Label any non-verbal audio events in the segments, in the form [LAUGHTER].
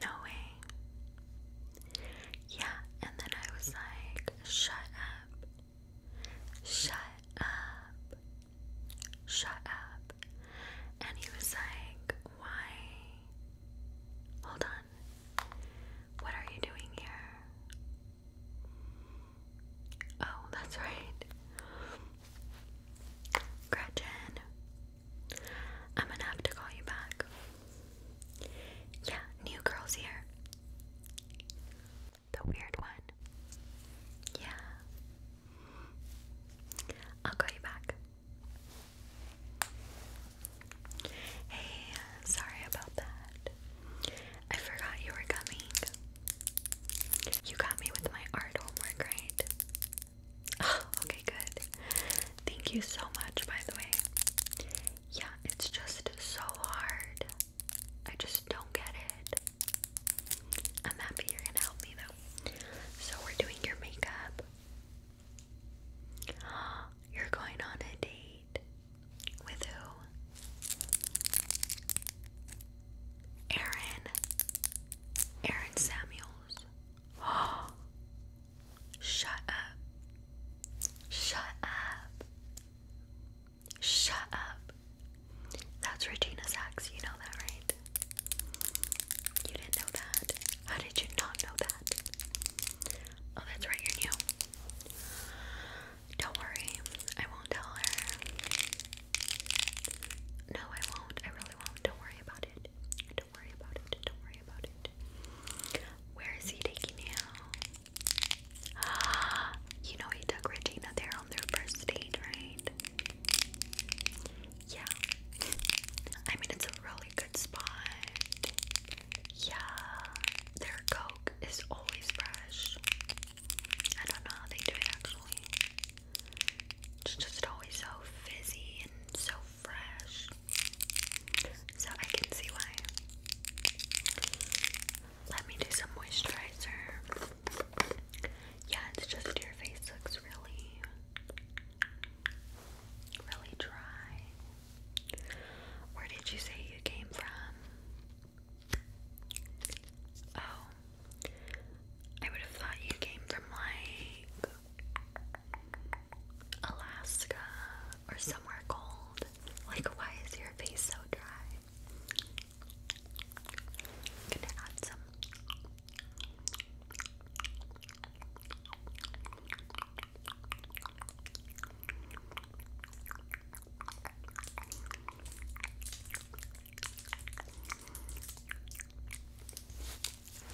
No way. Yeah, and then I was like, shut up. Shut up. Shut up. And he was like, why? Hold on. What are you doing here? Oh, that's [LAUGHS] right. Gretchen, I'm gonna have to call you back. Yeah, new girl's here. The weird one. Yeah. I'll call you back. Hey, sorry about that. I forgot you were coming. You got me with my art homework, right? [SIGHS] okay, good. Thank you so much, by the way. Yeah, it's just so hard. I just don't get it. I'm happy you're gonna help me though. So, we're doing your makeup. [GASPS] You're going on a date. With who? Aaron. Aaron Samuels. [GASPS] Shut up. Shut up. Shut up. That's Regina Sacks. You know that, right? You didn't know that. How did you not know that? Oh, that's right. You're new. Don't worry. I won't tell her. No, I won't. I don't worry about it. Don't worry about it. Don't worry about it. Where is he taking you? [GASPS] you know he took Regina there on their first date, right? Yeah. I mean, it's a really good spot. Yeah. Their Coke is always fresh. I don't know how they do it actually. It's just always so fizzy and so fresh. So I can see why. Let me do some moisturizer. Yeah, it's just your face looks really, really dry. Where did you say you came from? Oh, I would have thought you came from like Alaska or somewhere cold. Like, why is your face so dry? i add some.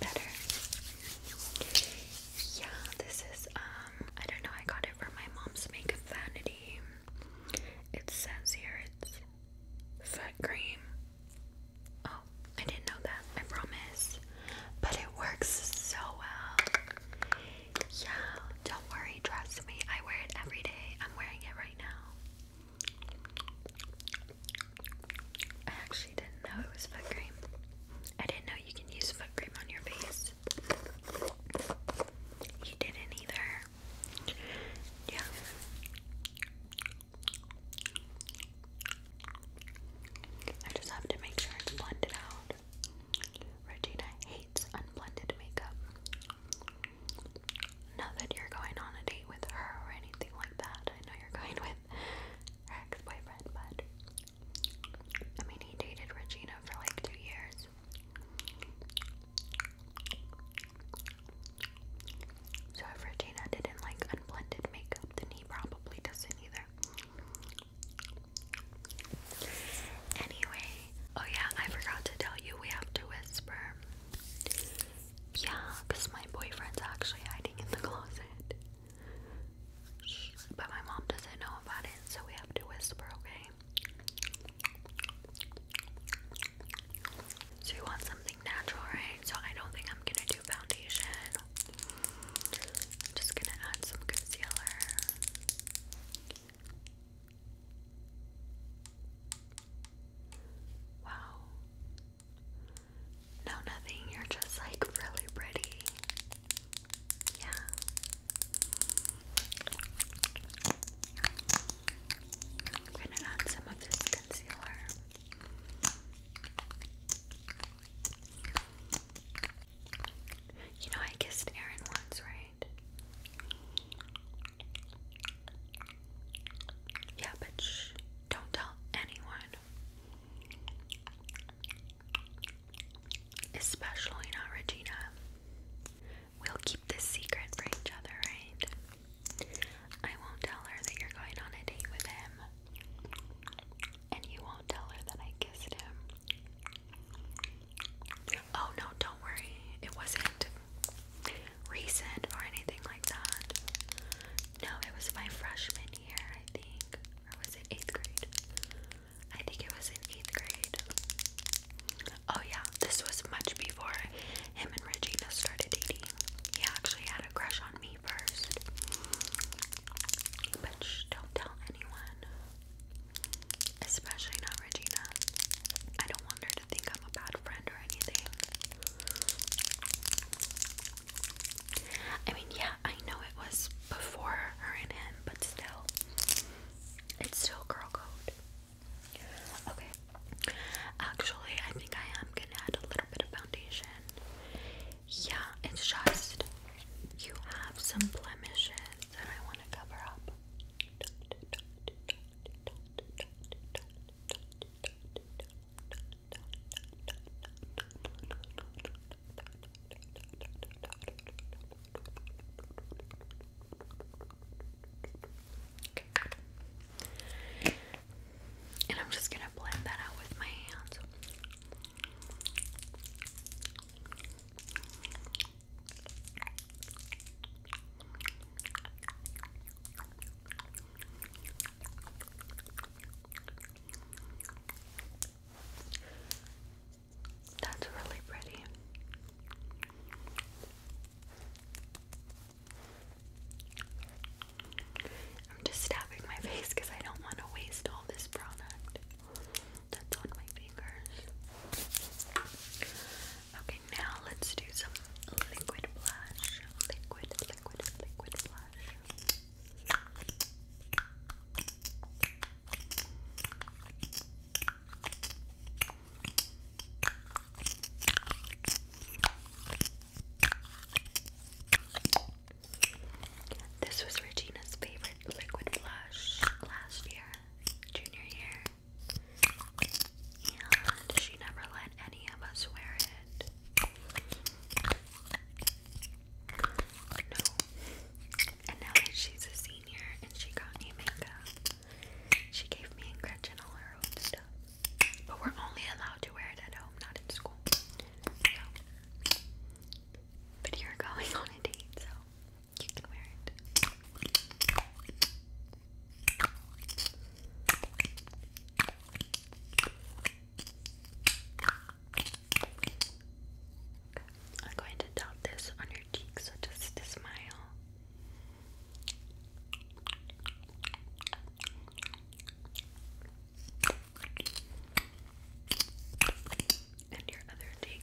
Better. Yeah, this is um I don't know, I got it from my mom's makeup vanity. It says here it's foot cream. Oh, I didn't know that, I promise. But it works so well. Yeah, don't worry, trust me. I wear it every day. I'm wearing it right now. I actually didn't know it was foot cream. I didn't know you can use foot cream on your face. You didn't either. Yeah. I just have to make sure it's blended out. Regina hates unblended makeup. Not that you're going on a date with her or anything like that. I know you're going with her ex boyfriend, but I mean, he dated Regina for like two years. So if Regina didn't like unblended makeup, then he probably doesn't either. Anyway, oh yeah, I forgot to tell you we have to whisper. Yeah, because my boyfriend's actually hiding in the closet. But my mom doesn't know about it, so we have to whisper, okay? So you want something natural, right? So I don't think I'm gonna do foundation. just gonna add some concealer. Wow. No, nothing. You're just like really pretty. Yeah. I'm going some of this concealer. You know, I kissed Aaron once, right? Yeah, but don't tell anyone. Especially not Regina. We'll keep this secret for each other, right? I won't tell her that you're going on a date with him. And you won't tell her that I kissed him. Oh no, don't worry. It wasn't recent or anything like that. No, it was my freshman year, I think. Or was it 8th grade? I think it was in 8th grade. Oh, yeah, this was much before him and Regina started dating. He actually had a crush on me first. But don't tell anyone. Especially not Regina. I don't want her to think I'm a bad friend or anything. I mean, yeah, I know it was before her and him, but still, it's still girl code. Okay, actually, I think I am gonna add a little bit of foundation. Yeah, it's just you have some blemishes that I want to cover up. And I'm just going to blend that out with my hands. That's really pretty. I'm just stabbing my [LAUGHS] face because I don't want to waste all this product that's on my fingers. Okay, now let's do some liquid blush. Liquid, liquid, liquid blush. This was Regina's favorite liquid blush last year, junior year. And she never let any of us wear it. No. And now that she's a senior and she got makeup, she gave me and Gretchen all her old stuff. But we're only allowed to wear it at home, not in school. But you're [LAUGHS] going on a date, so you I'm going to dot this on your cheek, so just to smile. And your other cheek.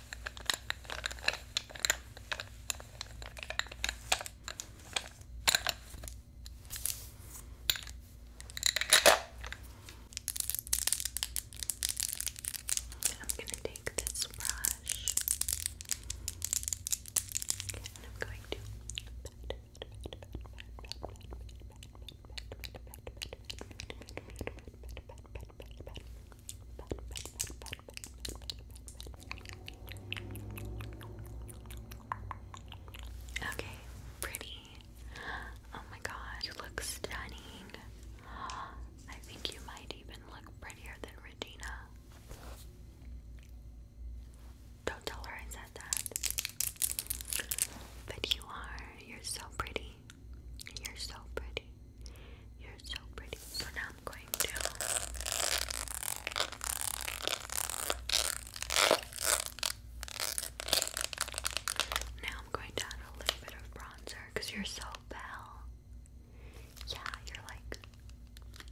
I'm going to take this brush and I'm going to Okay, pretty. Oh my god, you look stunning. I think you might even look prettier than Regina. Don't tell her I said that. But you are. You're so pretty. You're so pretty. You're so pretty. So now I'm going to Now I'm going to add a little bit of bronzer because you're so pale. Yeah, you're like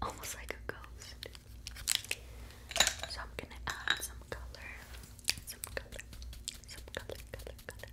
almost like a ghost. So I'm gonna add some color. Some color. Some color, color, color.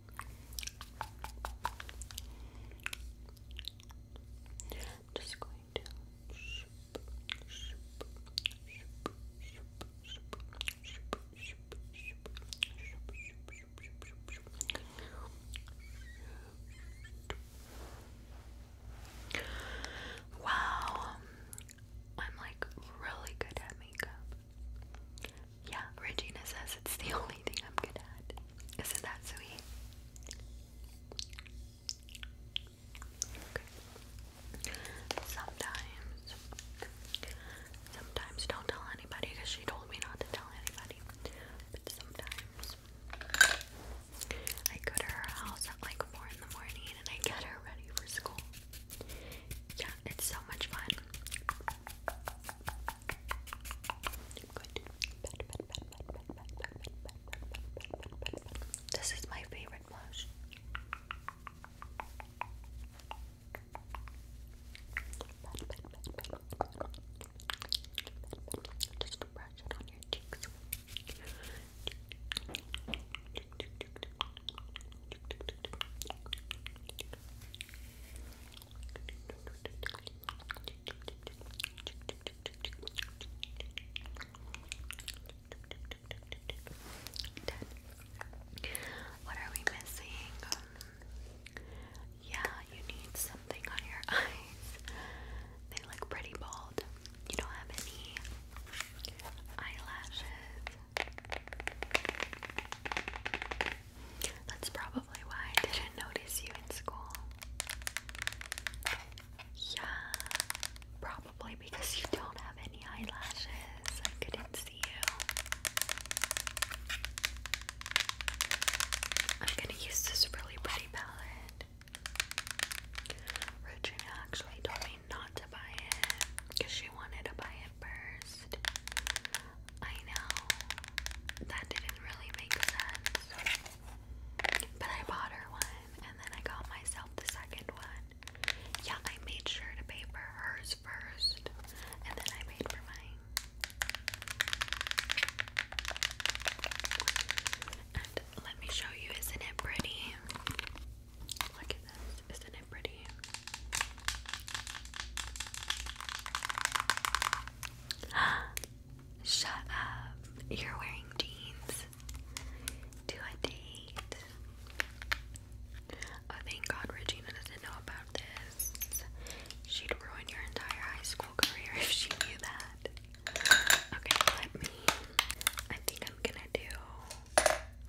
I'm just going to Wow, I'm like really good at makeup. Yeah, Regina says it's the [LAUGHS] only thing I'm good at. Isn't that sweet? Sometimes, sometimes don't tell anybody because she told me not to tell anybody. But sometimes I go to her house at like four in the morning and I get her ready for school. Yeah, it's so much fun. This is my favorite blush. Just brush it on your cheeks. Done. What are we missing? yeah, you need something on your [LAUGHS] eyes. They look pretty bald. You don't have any eyelashes. That's probably why I didn't notice you in school. Yeah, probably because you don't have any eyelashes. I couldn't see you. I'm gonna use this really pretty palette. Regina actually told me not to buy it because she wanted to buy it first. I know that didn't really make sense. But I bought her one and then I got myself the second one. Yeah, I made sure to pay for hers first and then I paid for mine. let me show you, isn't it pretty? Look at this, isn't it pretty? [GASPS] Shut up. You're wearing jeans to a date. Oh, thank God Regina doesn't know about this. She'd ruin your entire high school career [LAUGHS] if she knew that. Okay, let me. I think I'm gonna do.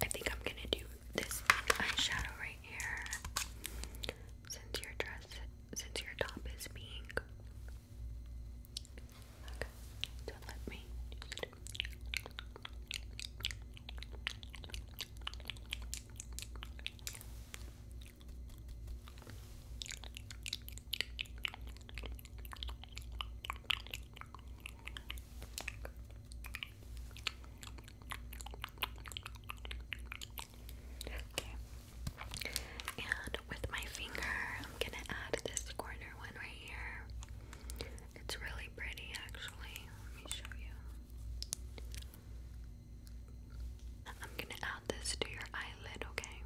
I think I'm gonna do this eyeshadow right here since your dress since your top is pink. Okay, so let me and with my finger, I'm gonna add this corner one right here. It's really pretty actually. Let me show you. I'm gonna add this to your eyelid, okay?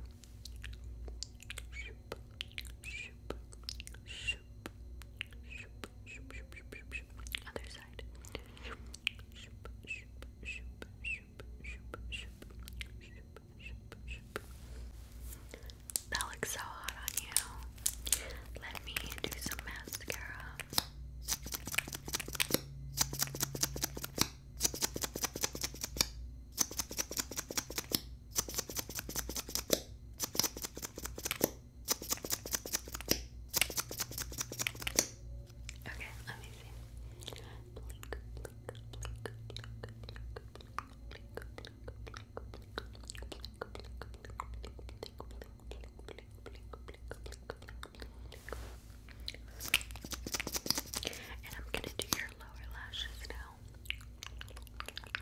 Other side. That looks so hot on you. Let me do some mascara. Okay, let me see. Blink, blink, blink, and I'm gonna do your lower lashes now. Okay.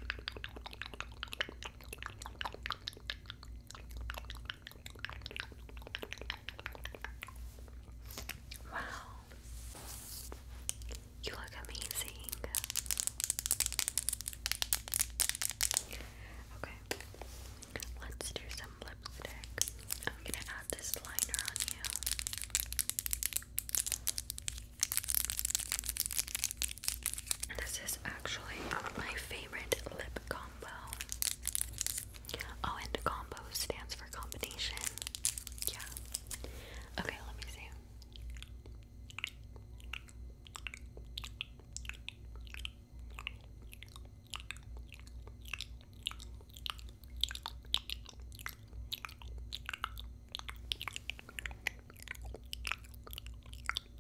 Wow. You look amazing. Okay. Let's do some lipstick. I'm going to add this liner on you. This is actually my favorite lip combo. Oh, and combo stands for combination. Yeah. Okay, let me see. Okay,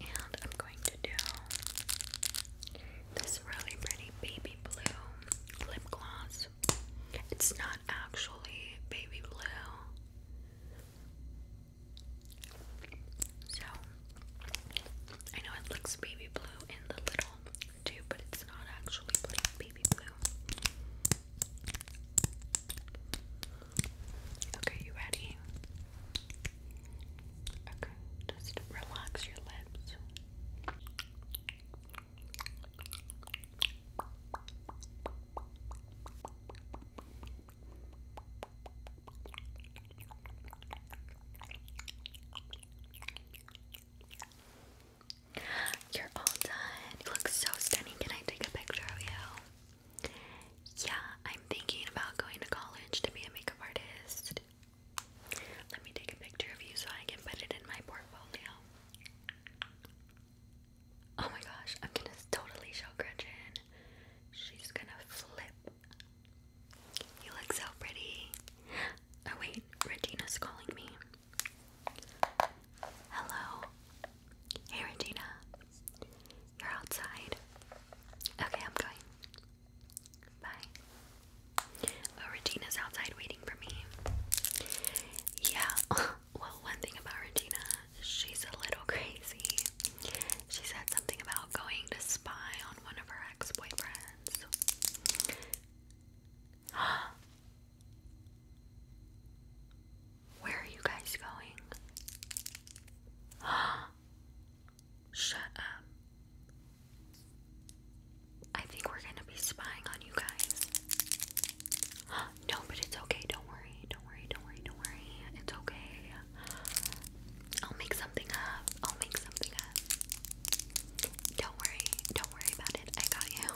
and I'm going to do this really pretty baby blue lip gloss. It's not actually baby blue. So, I know it looks baby blue in the little too, but it's not actually baby blue. Okay, you ready? Okay, just relax your lips. You're all done. You look so stunning. Can I take a picture of you? Yeah, I'm thinking about going to college to be a makeup artist. Let me take a picture of you so I can put it in my portfolio. Oh my gosh, I'm gonna totally show Gretchen. She's gonna flip. You look so pretty. Oh, wait, Regina's calling me. Hello. Hey, Regina. You're outside. Okay, I'm going. Bye. Oh, Regina's outside waiting for me. Yeah, [LAUGHS] well, one thing about Regina, she's a little [LAUGHS] crazy. She said something about going to spy on one of her ex boyfriends. [GASPS] Where are you guys going? [GASPS] Shut up. I think we're gonna be spying on you guys. [GASPS] No, but it's okay. Don't worry. Don't worry. Don't worry. Don't worry. It's okay. I'll make something up. I'll make something don't worry, don't worry about it. I got you.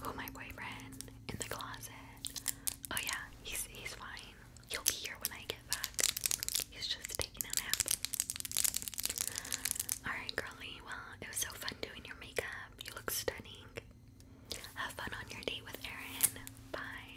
Who oh, my boyfriend in the closet? Oh yeah, he's he's fine. He'll be here when I get back. He's just taking a nap. Alright, girly. Well, it was so fun doing your makeup. You look stunning. Have fun on your date with Aaron. Bye.